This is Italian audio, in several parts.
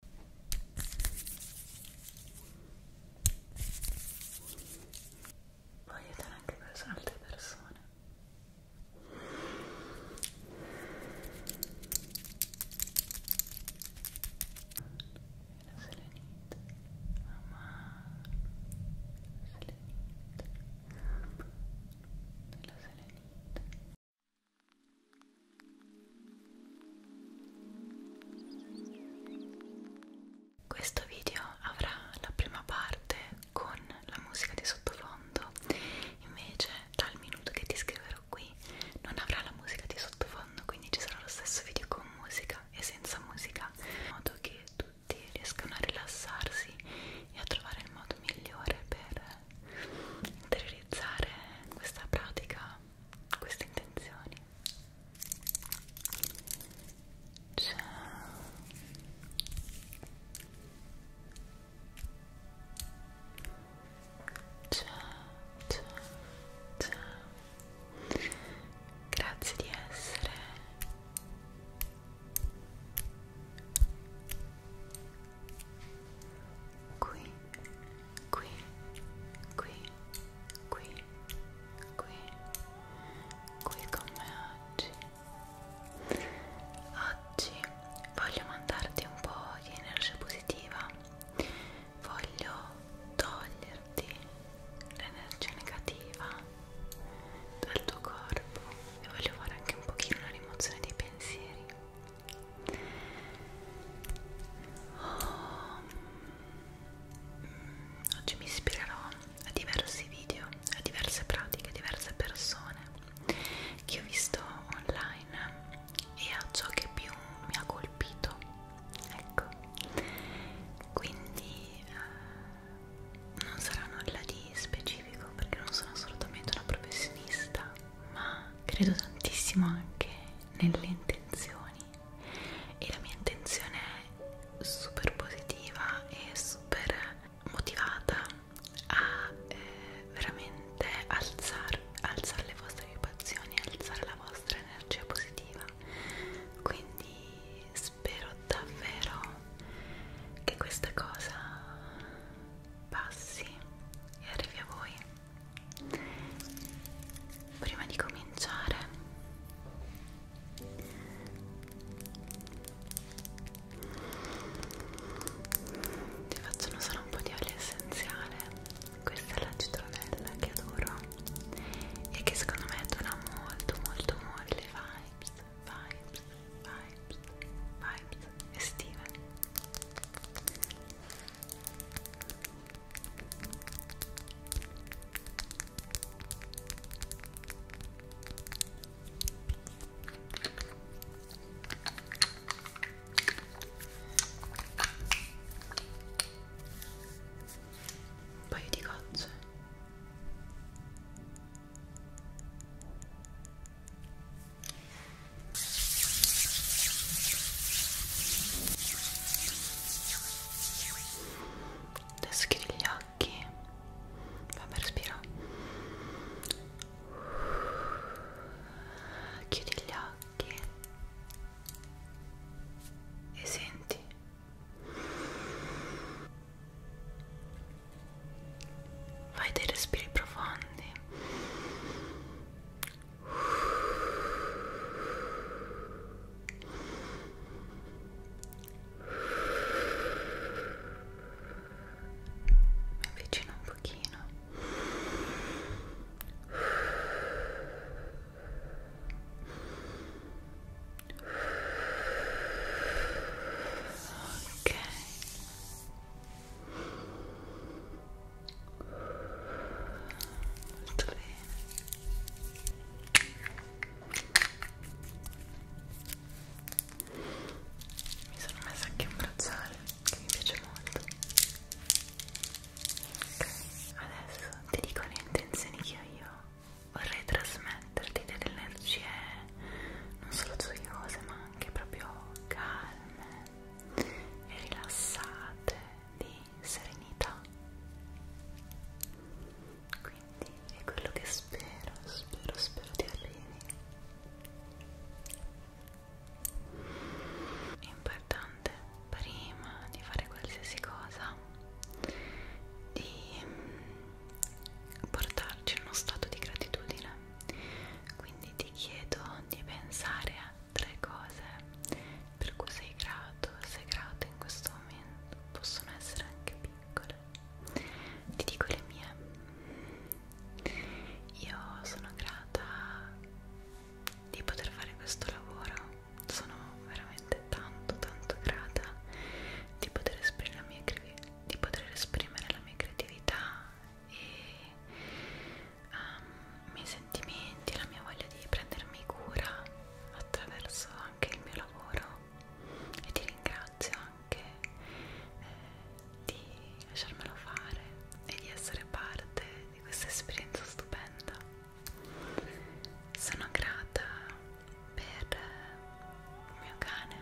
Può aiutare anche per altre persone. La selenite, mamma, selenite, la selenite. Questo video avrà la prima parte con la musica di sottofondo, invece dal minuto che ti scriverò qui non avrà la musica di sottofondo, quindi ci sarà lo stesso video con musica e senza musica, in modo che tutti riescano a rilassarsi e a trovare il modo migliore per interiorizzare questa pratica queste intenzioni ciao ciao ciao ciao grazie di essere qui, qui, qui, qui, qui, qui con me oggi. Oggi voglio mandarti un po' di energia positiva, voglio toglierti l'energia negativa dal tuo corpo e voglio fare anche un pochino la rimozione dei pensieri Oh. Oggi mi ispirerò a diversi video, a diverse pratiche, a diverse persone che ho visto online e a ciò che più mi ha colpito. Ecco, quindi eh, non sarà nulla di specifico perché non sono assolutamente una professionista, ma credo tantissimo anche nelle intenzioni e la mia intenzione è super positiva e super motivata a eh, veramente alzare, alzare le vostre occupazioni, alzare la vostra energia positiva quindi spero davvero che questa cosa passi e arrivi a voi prima di cominciare ti faccio usare un po' di olio essenziale questa è la citronella che adoro e che secondo me dona molto molto molle vibes vibes vibes vibes estive un paio di gocce. Adesso chiudi gli occhi. Vabbè, respira. Chiudi gli occhi. E senti. Fai dei respiri profondi mi avvicino un pochino ok molto bene mi sono messa anche un bracciale che mi piace molto ok adesso ti dico le intenzioni che ho io vorrei trasmetterti delle energie non solo gioiose ma anche proprio calme e rilassate di serenità quindi è quello che spero spero spero di arrivi è importante prima di fare qualsiasi cosa di mm, portarci in uno stato di gratitudine quindi ti chiedo di pensare a tre cose per cui sei grato, sei grato in questo momento, possono essere anche piccole. Ti dico le mie. Io sono grata di poter fare questo lavoro, sono veramente tanto tanto grata di poter esprimere la mia, di poter esprimere la mia creatività e um, i miei sentimenti, la mia voglia di prendermi cura attraverso anche il mio lavoro e ti ringrazio anche eh, di lasciarmelo fare e di essere parte di questa esperienza stupenda. Sono grata per il mio cane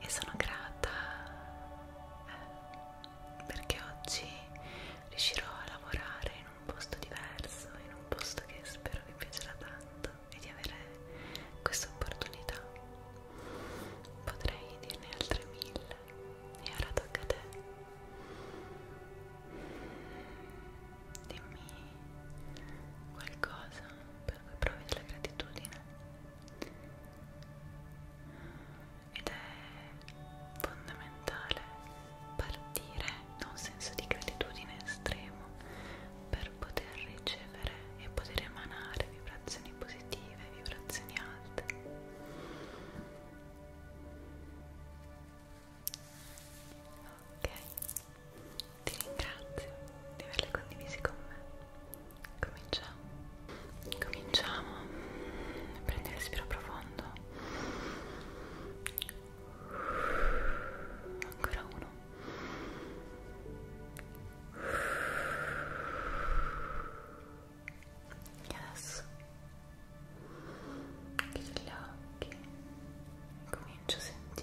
e sono grata eh, perché oggi riuscirò a lavorare in un posto diverso, in un posto che spero vi piacerà tanto e di avere questa opportunità. Potrei dirne altre mille e ora tocca a te. Dimmi qualcosa per cui provi della gratitudine ed è fondamentale partire da un senso di gratitudine estremo per poter ricevere e poter emanare vibrazioni positive, vibrazioni alte. Ok, ti ringrazio di averle condivise con me cominciamo cominciamo prendi respiro profondo ancora uno e adesso chiudi gli occhi comincio a sentire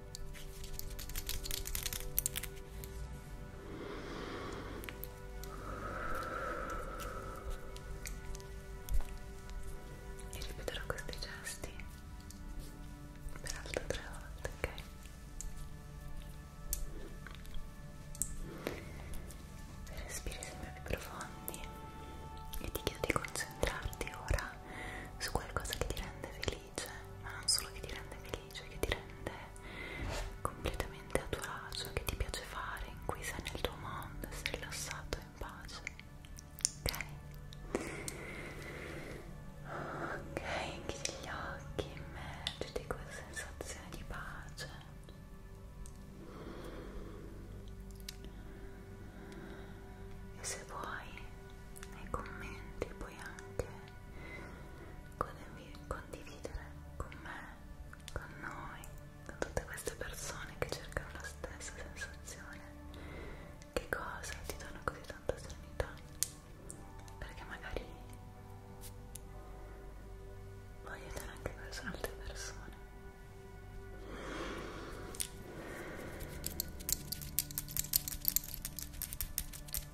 e ripeterò questi gesti per altre tre volte, ok? Respiri sempre più profondi e ti chiedo di concentrarti ora su qualcosa che ti rende felice felice, ma non solo che ti rende felice, che ti rende completamente a tuo agio, che ti piace fare, in cui sei nel tuo mondo, sei rilassato e in pace. Ok? Ok, chiudi gli occhi, immergiti quella sensazione di pace. E se vuoi, nei commenti puoi anche condividere con me, con noi, con tutte queste persone che cercano la stessa sensazione. Che cosa ti dona così tanta serenità? Perché magari vuoi aiutare anche persone, altre persone.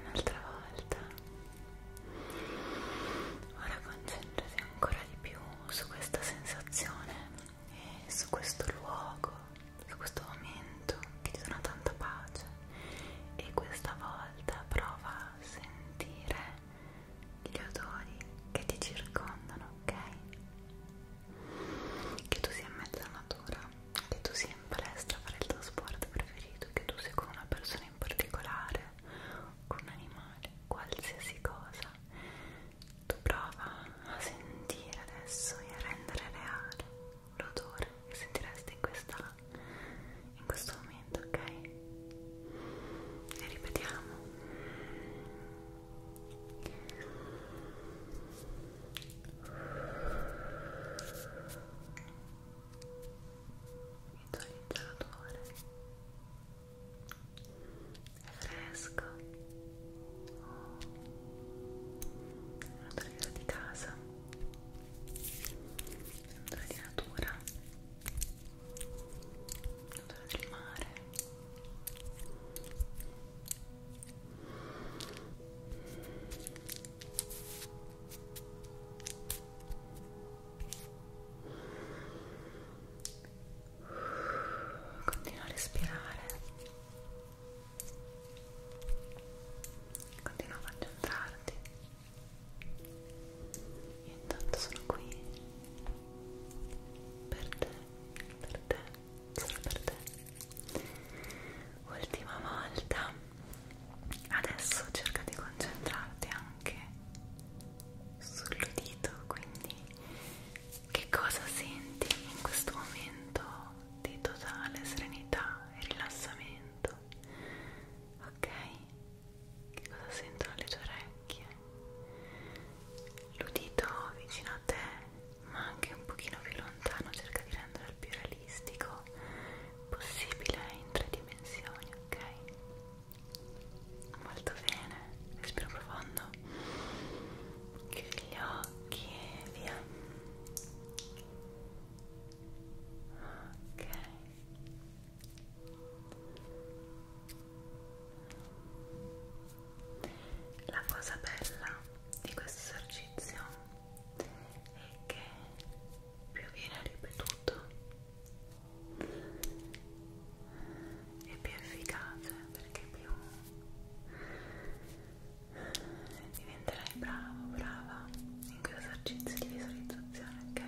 Un'altra volta. Ora concentrati ancora di più su questa sensazione e su questo luogo, su questo momento che ti dona tanta pace. E questa volta prova a sentire gli odori che ti circondano, ok? Che tu sia in mezzo alla natura, che tu sia in palestra a fare il tuo sport preferito, che tu sia con una persona in particolare, con un animale, qualsiasi cosa. Tu prova a sentire adesso e a rendere reale l'odore che sentiresti in quest'anno in questo momento, ok? E ripetiamo. Visualizzatore fresco odore di casa odore di natura odore del mare Continua a respirare, continua a concentrarti io intanto sono qui per te, per te, solo per te. Ultima volta. Adesso cerca di concentrarti anche sull'udito, quindi che cosa senti in questo momento di totale serenità e rilassamento? Ok? Che cosa sentono le tue orecchie? L'udito vicino a te, ma anche un pochino più lontano, cerca di renderlo il più realistico possibile in tre dimensioni, ok? Molto bene, respiro profondo, chiudi gli occhi e via. Ok. La cosa bella di questo esercizio è che più viene ripetuto e più efficace perché più diventerai bravo, brava in questo esercizio di visualizzazione, ok?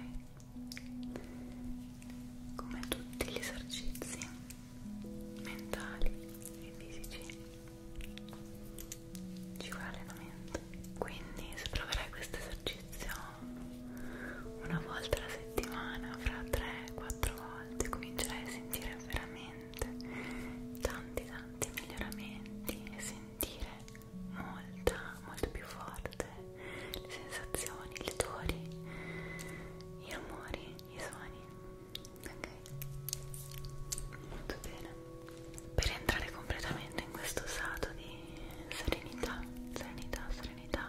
come tutti gli esercizi mentali e fisici ci vuole allenamento quindi se proverai questo esercizio una volta alla settimana fra 3-4 volte comincerai a sentire veramente tanti tanti miglioramenti e sentire molta, molto più forte le sensazioni, gli odori, i rumori, i suoni ok? molto bene per entrare completamente in questo stato di serenità serenità, serenità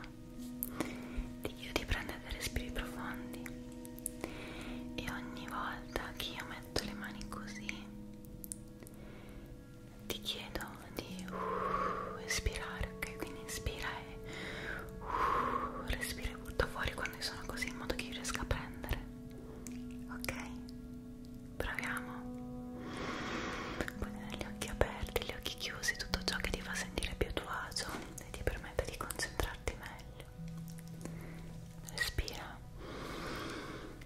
ti chiedo di prendere dei respiri profondi e ogni volta che io metto le mani così ti chiedo di uh, espirare, ok? Quindi inspira e uh, respira e butta fuori quando sono così in modo che io riesca a prendere, ok? Proviamo. Poi gli occhi aperti, gli occhi chiusi, tutto ciò che ti fa sentire più a tuo agio e ti permette di concentrarti meglio. Respira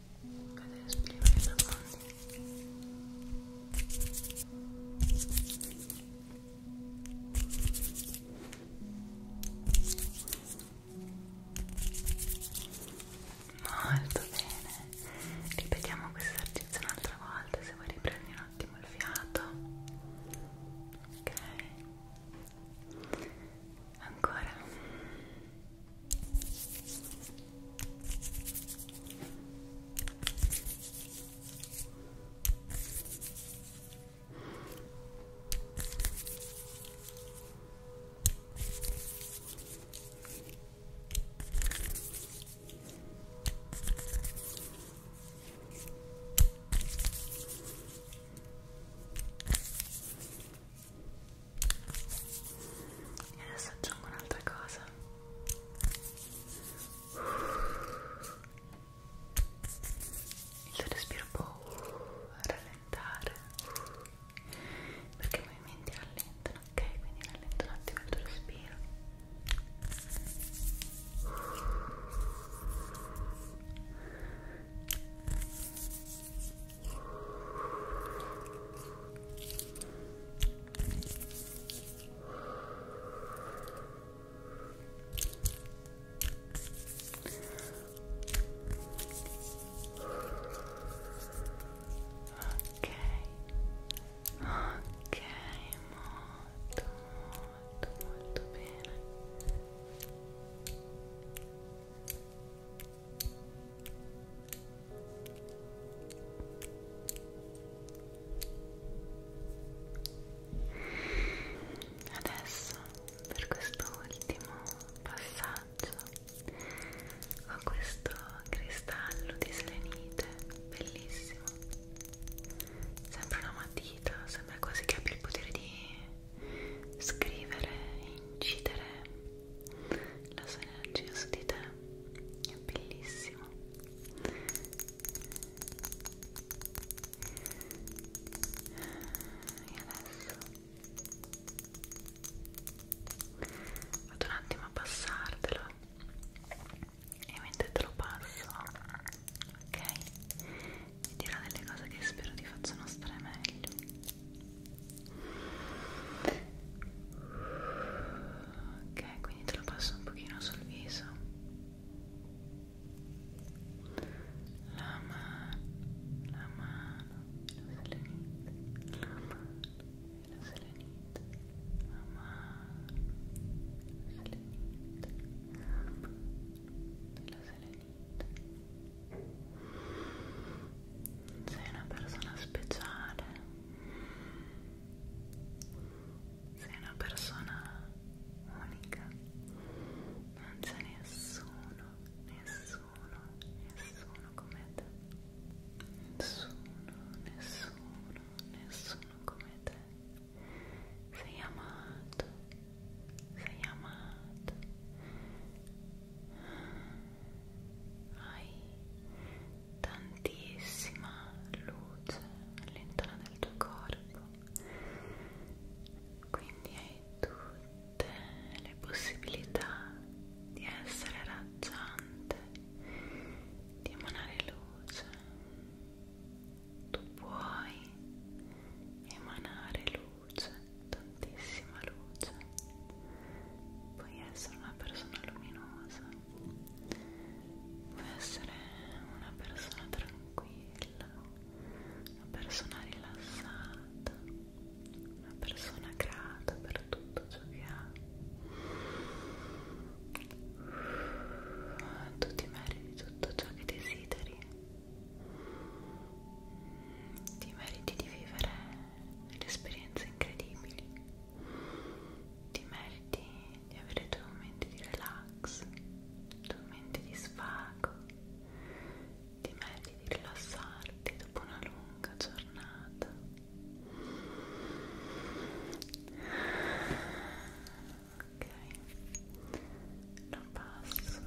cadere a spiegare i Molto bene, ripetiamo questo esercizio un'altra volta se vuoi riprendi un attimo il fiato. Ok ancora e adesso aggiungo un'altra cosa il tuo respiro può rallentare perché i movimenti rallentano ok quindi rallento un attimo il tuo respiro Ok, ok, molto, molto, molto bene. Adesso per questo ultimo passaggio ho questo cristallo di selenite bellissimo. Sembra una matita, sembra quasi che abbia il potere di scrivere e incidere la sua energia su di te è bellissimo e adesso vado un attimo a passartelo e mentre te lo passo ok ti dirò delle cose che spero ti facciano stare meglio ok quindi te lo passo un pochino sul viso la mano la mano la selenite la mano la selenite la mano la selenite la selenite sei una persona speciale. Sei una persona unica. Non c'è nessuno, nessuno, nessuno come te. Nessuno, nessuno, nessuno come te. Sei amato sei amato, hai tantissima luce all'interno del tuo corpo, quindi hai tutte le possibilità di essere raggiante, di emanare luce. Tu puoi emanare luce luce, tantissima luce, puoi essere una persona luminosa, puoi essere una persona tranquilla, una persona rilassata, una persona grata per tutto ciò che ha. Tu ti meriti tutto ciò che desideri ti meriti di vivere delle esperienze incredibili ti meriti di avere i tuoi momenti di relax i tuoi momenti di svago ti meriti di rilassarti dopo una lunga giornata ok lo passo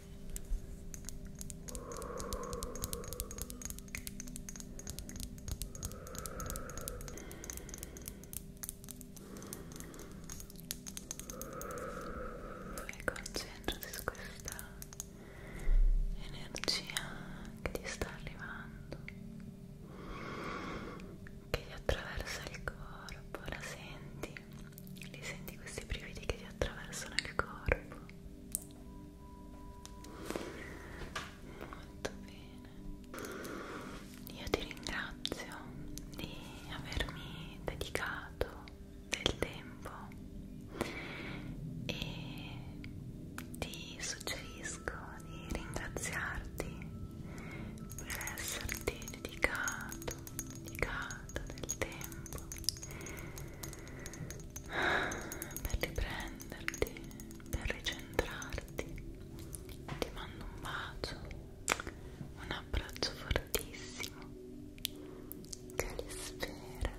e concentrati su questa energia che ti sta arrivando che ti attraversa il corpo la senti li senti questi brividi che ti attraversano il corpo molto bene io ti ringrazio di avermi dedicato del tempo e ti suggerisco di ringraziarti per esserti dedicato dedicato del tempo per riprenderti, per ricentrarti. Ti mando un bacio, un abbraccio fortissimo che li spera.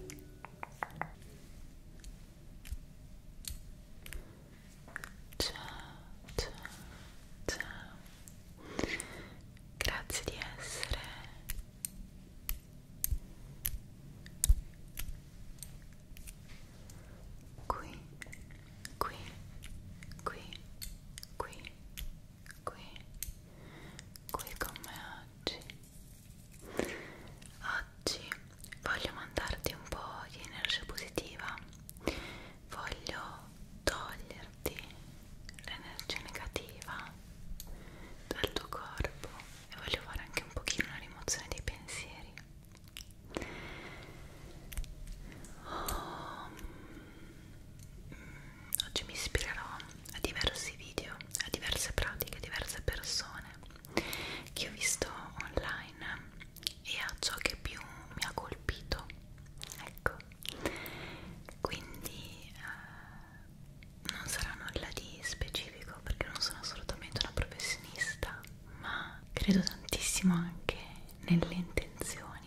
Ciao, ciao, ciao grazie di essere qui, qui, qui, qui, qui, qui con me oggi. Oggi voglio mandarti un po' di energia positiva, voglio togliermi svuoti l'energia negativa dal tuo corpo e voglio fare anche un pochino una rimozione dei pensieri oh, mm, oggi mi ispirerò a diversi video a diverse pratiche, a diverse persone che ho visto online e a ciò che più mi ha colpito ecco quindi eh, non sarà nulla di specifico perché non sono assolutamente una professionista ma credo tantissimo anche nelle intenzioni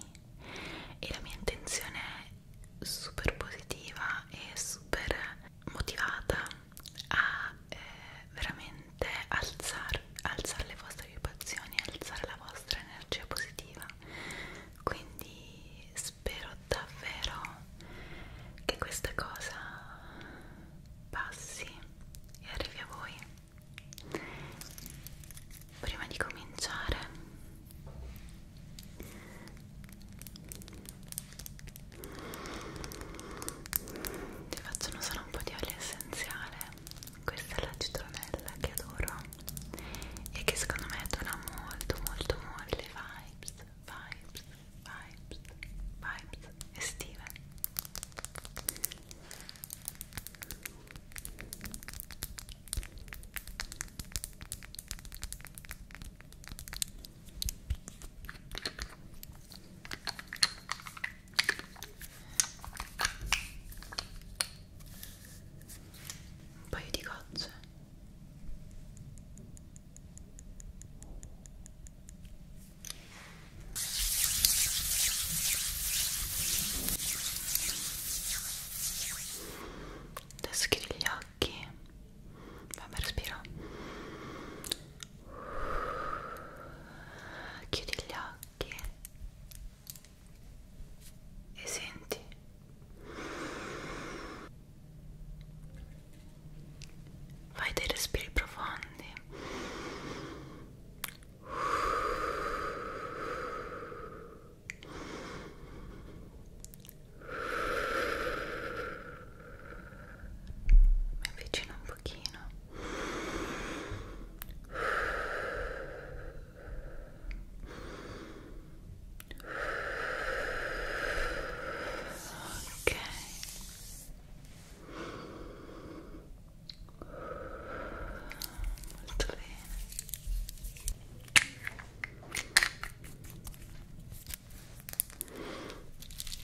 e la mia intenzione è super positiva e super motivata a eh, veramente alzare alzare le vostre vibrazioni alzare la vostra energia positiva quindi spero davvero che questa cosa passi e arrivi a voi prima di cominciare ti faccio un suono un po' di olio essenziale questa è la citronella che adoro e che secondo me dona molto molto molle vibes, vibes, vibes, vibes estive un paio di gocce adesso chiudi gli occhi vabbè respira chiudi gli occhi e senti fai dei respiri profondi mi avvicino un pochino ok molto bene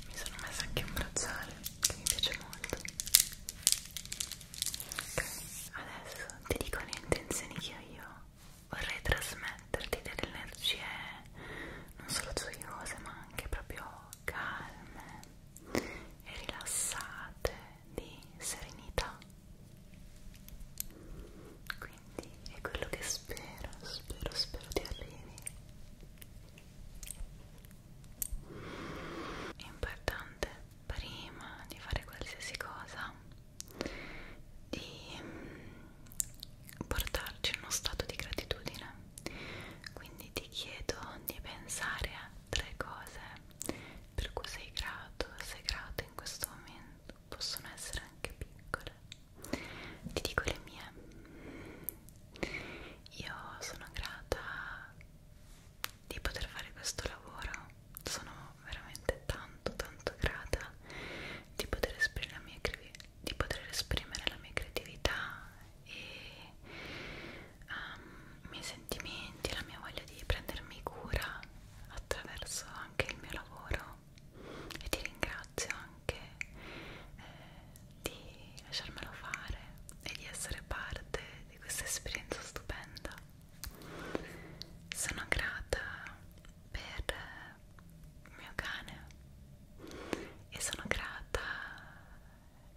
mi sono messa anche un bracciale che mi piace molto ok adesso ti dico le intenzioni che ho io vorrei trasmetterti delle energie non solo gioiose ma anche proprio calme e rilassate di serenità quindi è quello che spero spero spero ti arrivi è importante prima di fare qualsiasi cosa di mm, portarci in uno stato di gratitudine quindi ti chiedo di pensare a tre cose per cui sei grato sei grato in questo momento possono essere anche piccole ti dico le mie io sono grata di poter fare questo lavoro sono veramente tanto tanto grata di poter esprimere la mia, di poter esprimere la mia creatività e um, i miei sentimenti, la mia voglia di prendermi cura attraverso anche il mio lavoro e ti ringrazio anche eh, di lasciarmelo fare e di essere parte di questa esperienza stupenda sono grata per il mio cane e sono grata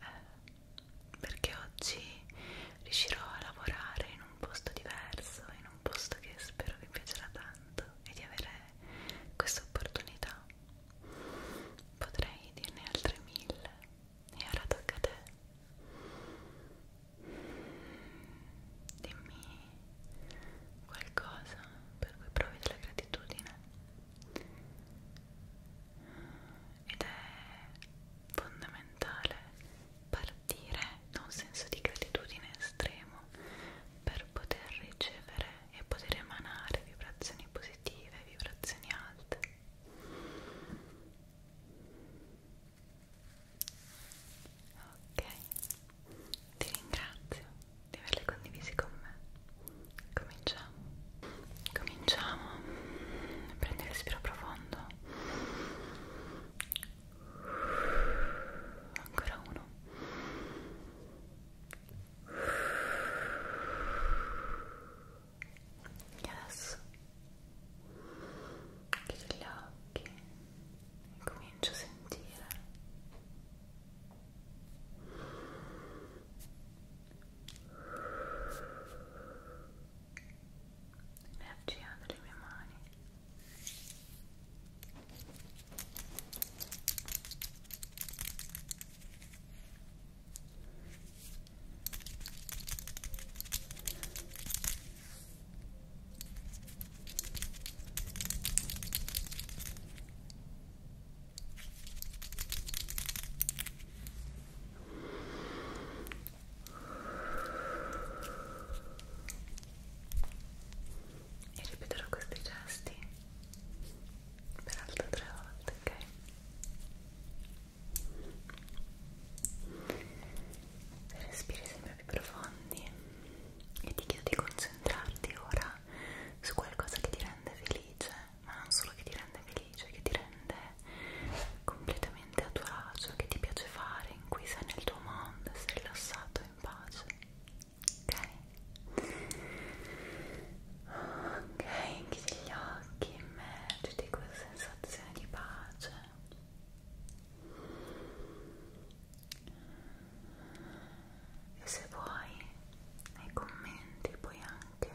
eh, perché oggi riuscirò a lavorare in un posto diverso, in un posto che spero vi piacerà tanto e di avere questa opportunità. Potrei dirne altre mille e ora tocca a te dimmi qualcosa per cui provi della gratitudine ed è fondamentale partire da un senso di gratitudine estremo per poter ricevere e poter emanare vibrazioni positive, vibrazioni alte Ok, ti ringrazio di averle condivisi con me. Cominciamo. Cominciamo. Prendi un respiro profondo. Ancora uno. E adesso chiudo gli occhi e comincio a sentire l'energia delle mie mani e ripeterò questi gesti per altre tre volte, ok? respiri sempre più profondi e ti chiedo di concentrarti ora su qualcosa che ti rende felice ma non solo che ti rende felice che ti rende completamente a tuo agio che ti piace fare in cui sei nel tuo mondo sei rilassato in pace ok ok chiudi gli occhi immergiti in questa sensazione di pace e se vuoi nei commenti puoi anche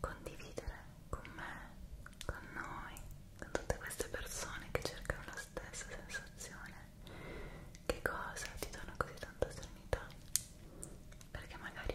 condividere con me, con noi, con tutte queste persone che cercano la stessa sensazione che cosa ti dona così tanta serenità perché magari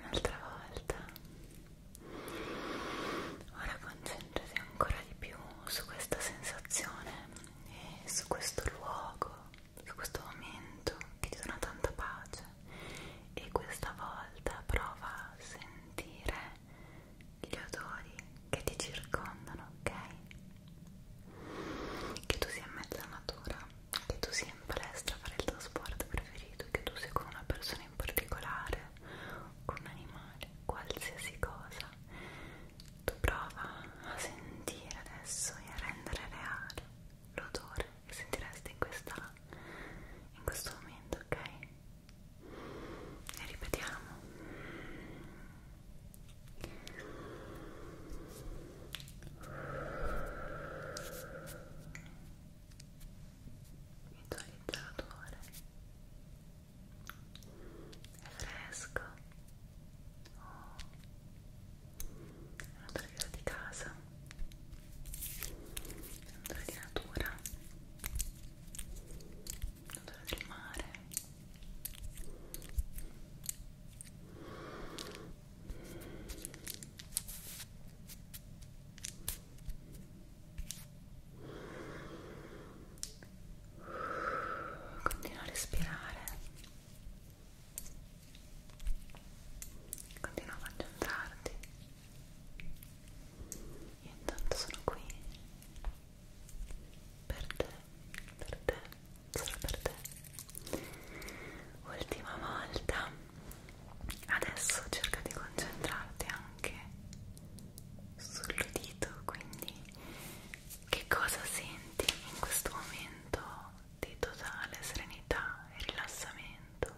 Un'altra volta. Ora concentrati ancora di più su questa sensazione e su questo luogo, su questo momento che ti dona tanta pace e questa volta prova a sentire gli odori che ti circondano, ok? Che tu sia in mezzo alla natura, che tu sia in palestra a fare il tuo sport preferito, che tu sia con una persona in particolare, con un animale, qualsiasi cosa tu prova a sentire adesso e a rendere reale l'odore che sentiresti in, questa, in questo momento, ok? E ripetiamo. Visualizza l'odore è fresco oh. è un odore di casa è un odore di natura è un odore del mare Continua a respirare. Continua a concentrarti. Io intanto sono qui per te, per te, solo per te. Ultima volta. Adesso cerca di concentrarti anche sull'udito, quindi che cosa senti in questo momento di totale serenità e rilassamento?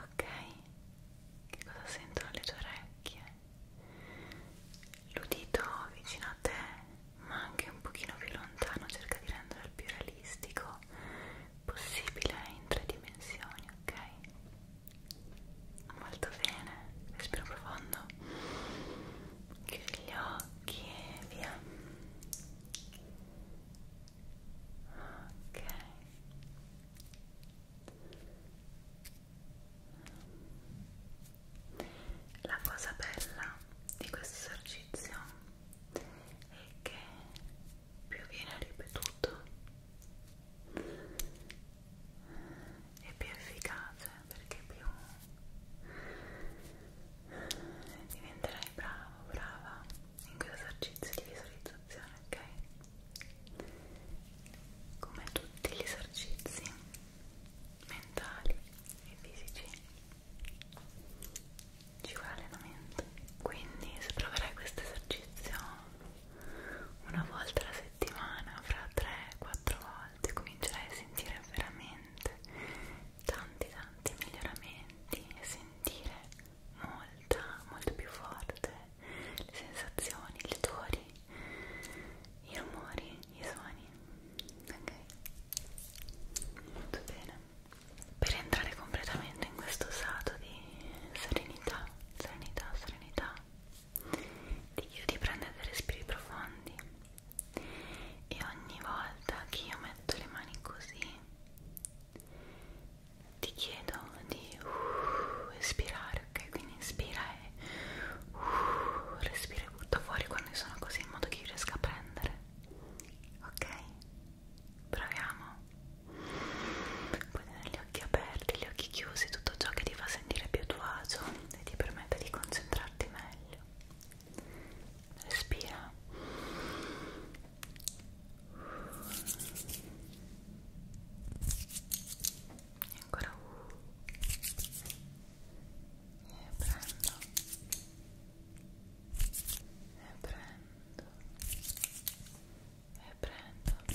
Ok? Che cosa sentono le tue orecchie? L'udito vicino a te, ma anche un pochino più lontano, cerca di rendere il più realistico possibile in tre dimensioni, ok? Molto bene, respiro profondo chiudi gli occhi e via ok la cosa bella di questo esercizio è che più viene ripetuto è più efficace perché più diventerai bravo, brava in questo esercizio di visualizzazione, ok? Come tutti gli esercizi mentali e fisici ci vuole allenamento. Quindi se proverai questo esercizio una volta alla settimana, fra 3-4 3-4 volte comincerai a sentire veramente tanti tanti miglioramenti e sentire molta, molto più forte le sensazioni, gli odori, i rumori, i suoni. Ok? Molto bene. Per entrare completamente in questo stato di serenità, serenità, serenità ti chiedo di prendere dei respiri profondi e ogni volta che io metto le mani così ti chiedo di uh, espirare, ok? Quindi inspira e uh, respira e butta fuori quando sono così in modo che io riesca a prendere, ok? Proviamo. Puoi tenere gli occhi aperti, gli occhi chiusi, tutto ciò che ti fa sentire più a tuo agio e ti permette di concentrarti meglio. Respira. E ancora e prendo e prendo e prendo e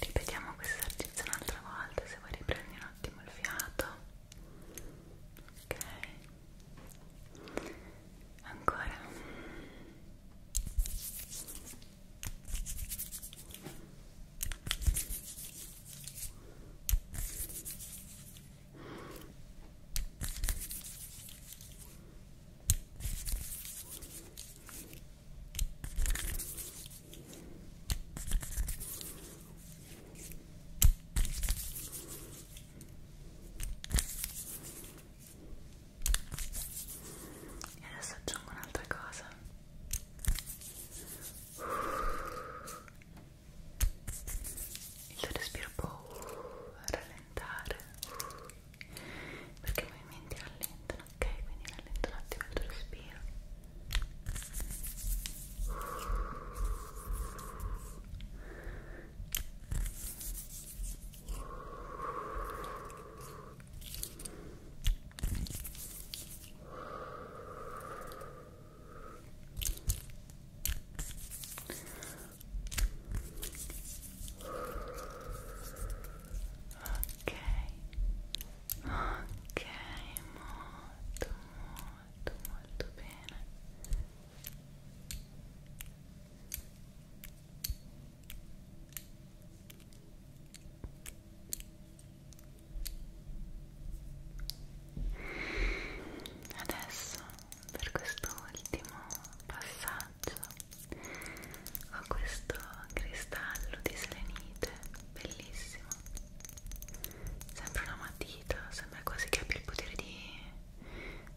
ripetiamo questo esercizio un'altra volta se vuoi riprendi un attimo il fiato ok ancora e adesso aggiungo un'altra cosa. Il tuo respiro può rallentare perché i movimenti rallentano ok quindi rallento un attimo il tuo respiro ok Ok, molto, molto, molto bene. Adesso per questo ultimo passaggio ho questo cristallo di selenite bellissimo sembra una matita sembra quasi che abbia il potere di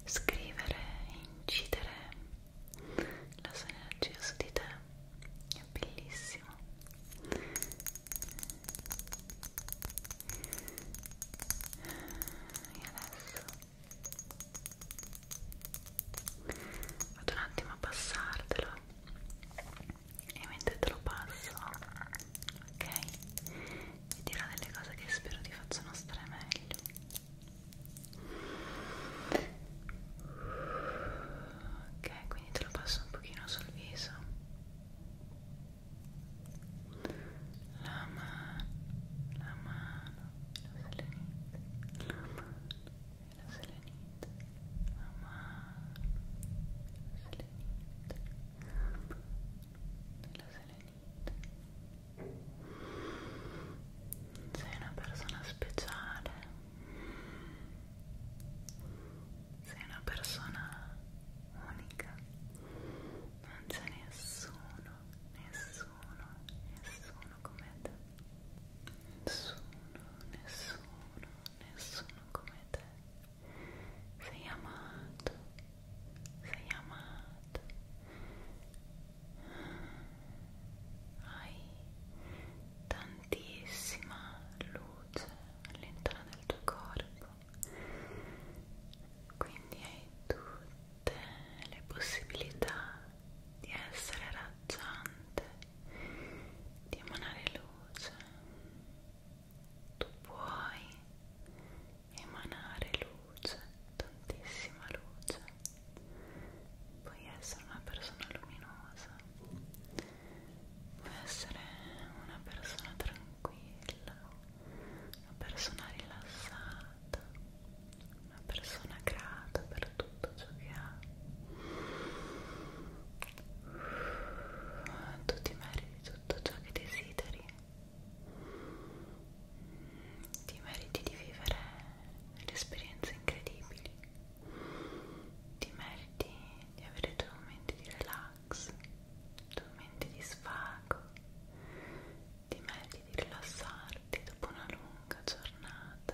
scrivere incidere la sua energia su di te è bellissimo e adesso vado un attimo a passartelo e mentre te lo passo ok vi dirò delle cose che spero ti facciano stare meglio ok quindi te lo passo un pochino sul viso la mano la mano la mano la mano la selenite la mano la selenite la selenite sei una persona speciale sei una persona unica non c'è nessuno nessuno nessuno come te Nessuno, nessuno, nessuno come te. Sei amato, sei amato. Hai tantissima luce all'interno del tuo corpo. Quindi hai tutte le possibilità di essere raggiante di emanare luce tu puoi emanare luce tantissima luce puoi essere una persona luminosa puoi essere una persona tranquilla una persona rilassata una persona grata per tutto tutto ciò che ha tu ti meriti tutto ciò che desideri ti meriti di vivere delle esperienze incredibili ti meriti di avere i tuoi momenti di relax i tuoi momenti di svago ti meriti di rilassarti dopo una lunga giornata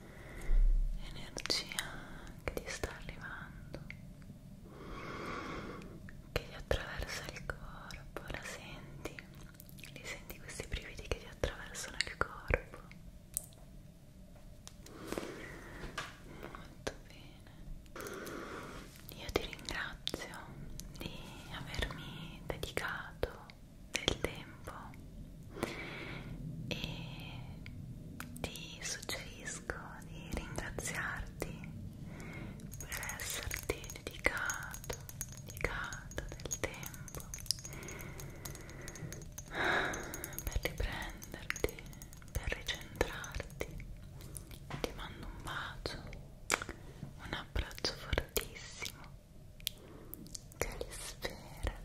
energia che ti sta arrivando che ti attraversa il corpo la senti li senti questi brividi che ti attraversano il corpo molto bene io ti ringrazio di avermi dedicato del tempo e ti suggerisco di ringraziarti per esserti dedicato, dedicato del tempo per riprenderti, per ricentrarti ti mando un bacio, un abbraccio fortissimo che li spera